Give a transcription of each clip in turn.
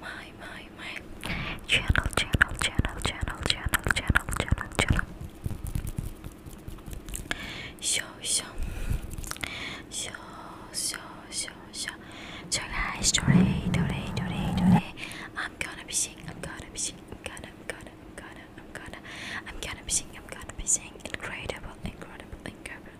My, my, my channel, channel, channel, channel, channel, channel, channel, channel. So, so, so, so, so, so. So, guys, today, today, today, today, I'm gonna be singing, I'm gonna be singing, I'm gonna, I'm gonna, I'm gonna, I'm gonna, I'm gonna be singing, I'm gonna be singing. Incredible, incredible, incredible,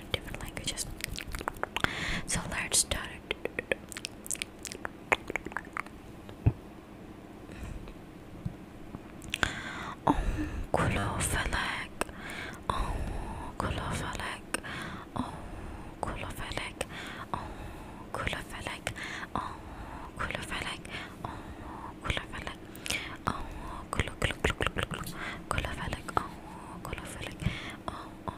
different different languages. So let's start it. Om oh, kulofalak, om oh, kulofalak, om oh, kulofalak, om kulofalak, om kulofalak, om kulofalak, om kulofalak, om kulofalak, om kulofalak, om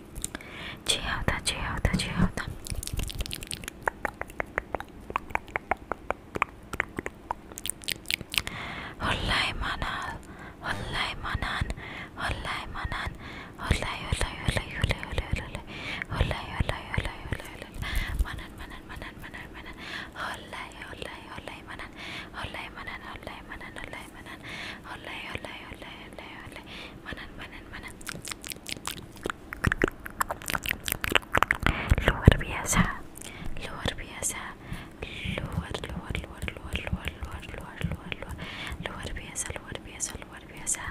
最好的，最好的，最好的。好来，曼南，好来，曼南，好来，曼南，好来，好来，好来，好来，好来，好来，好来，好来，好来，好来，曼南，曼南，曼南，曼南，曼南，好来，好来，好来，曼南，好来，曼南，好来，曼南，好来，曼南，好来，好来，好来，好来，好来。manan, manan, Luar biasa, luar biasa, luar, luar, luar, luar, luar, luar, luar, luar, luar, biasa, luar biasa, luar biasa,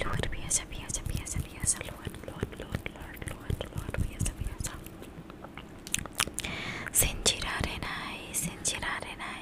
luar biasa, biasa, biasa, biasa, luar, luar, luar, luar, luar, luar biasa, biasa. Sentirare nai, sentirare nai.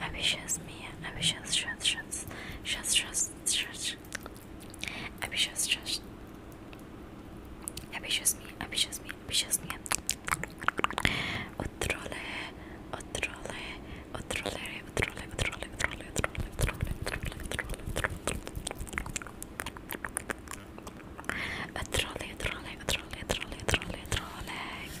Abhishas Mia, Abhishas Shastras, Shastras, Abhishas Shastras, Abhishas Mia, Abhishas Mia, Abhishas Mia, Utrole, Utrole, Utrole, Utrole, Utrole, Utrole, Utrole, Utrole, Utrole, Utrole, Utrole, Utrole, Utrole, Utrole, Utrole, Utrole,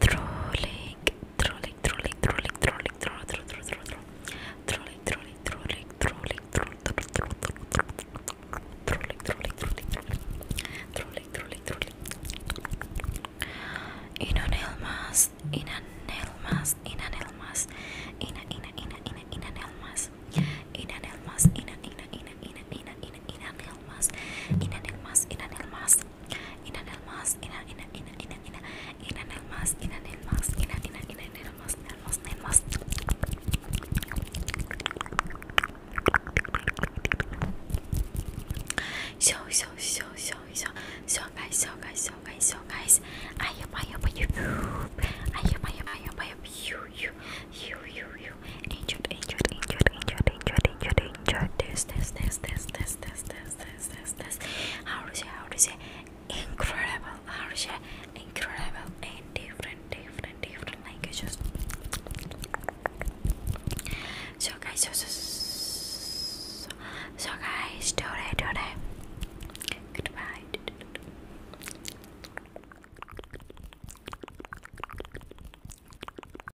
trolling, trolling, trolling, trolling, trolling, trolling, trolling, trolling, trolling, trolling, trolling, trolling, trolling, trolling, trolling, trolling, trolling, trolling, in a nail mask, in a nail mask, in a nail mask, in a in a in a in a in a nail mask, in a nail mask, in a in a in a in a in a in a nail mask, in a nail mask, in a nail mask, in an elmas, in an in an in an in an in an in an elmas, in an elmas, in an in an in an elmas, elmas, elmas. So so so so so so guys, so guys, so guys, so guys. I am I am I am I am I am I am I am you you you you you. Injured, injured, injured, injured, injured, injured, injured. This this this this this this, this, this, this, this, this. How to say, incredible, How is it? incredible And different, different, different languages. So guys, so, so, so, so guys, today, today, goodbye.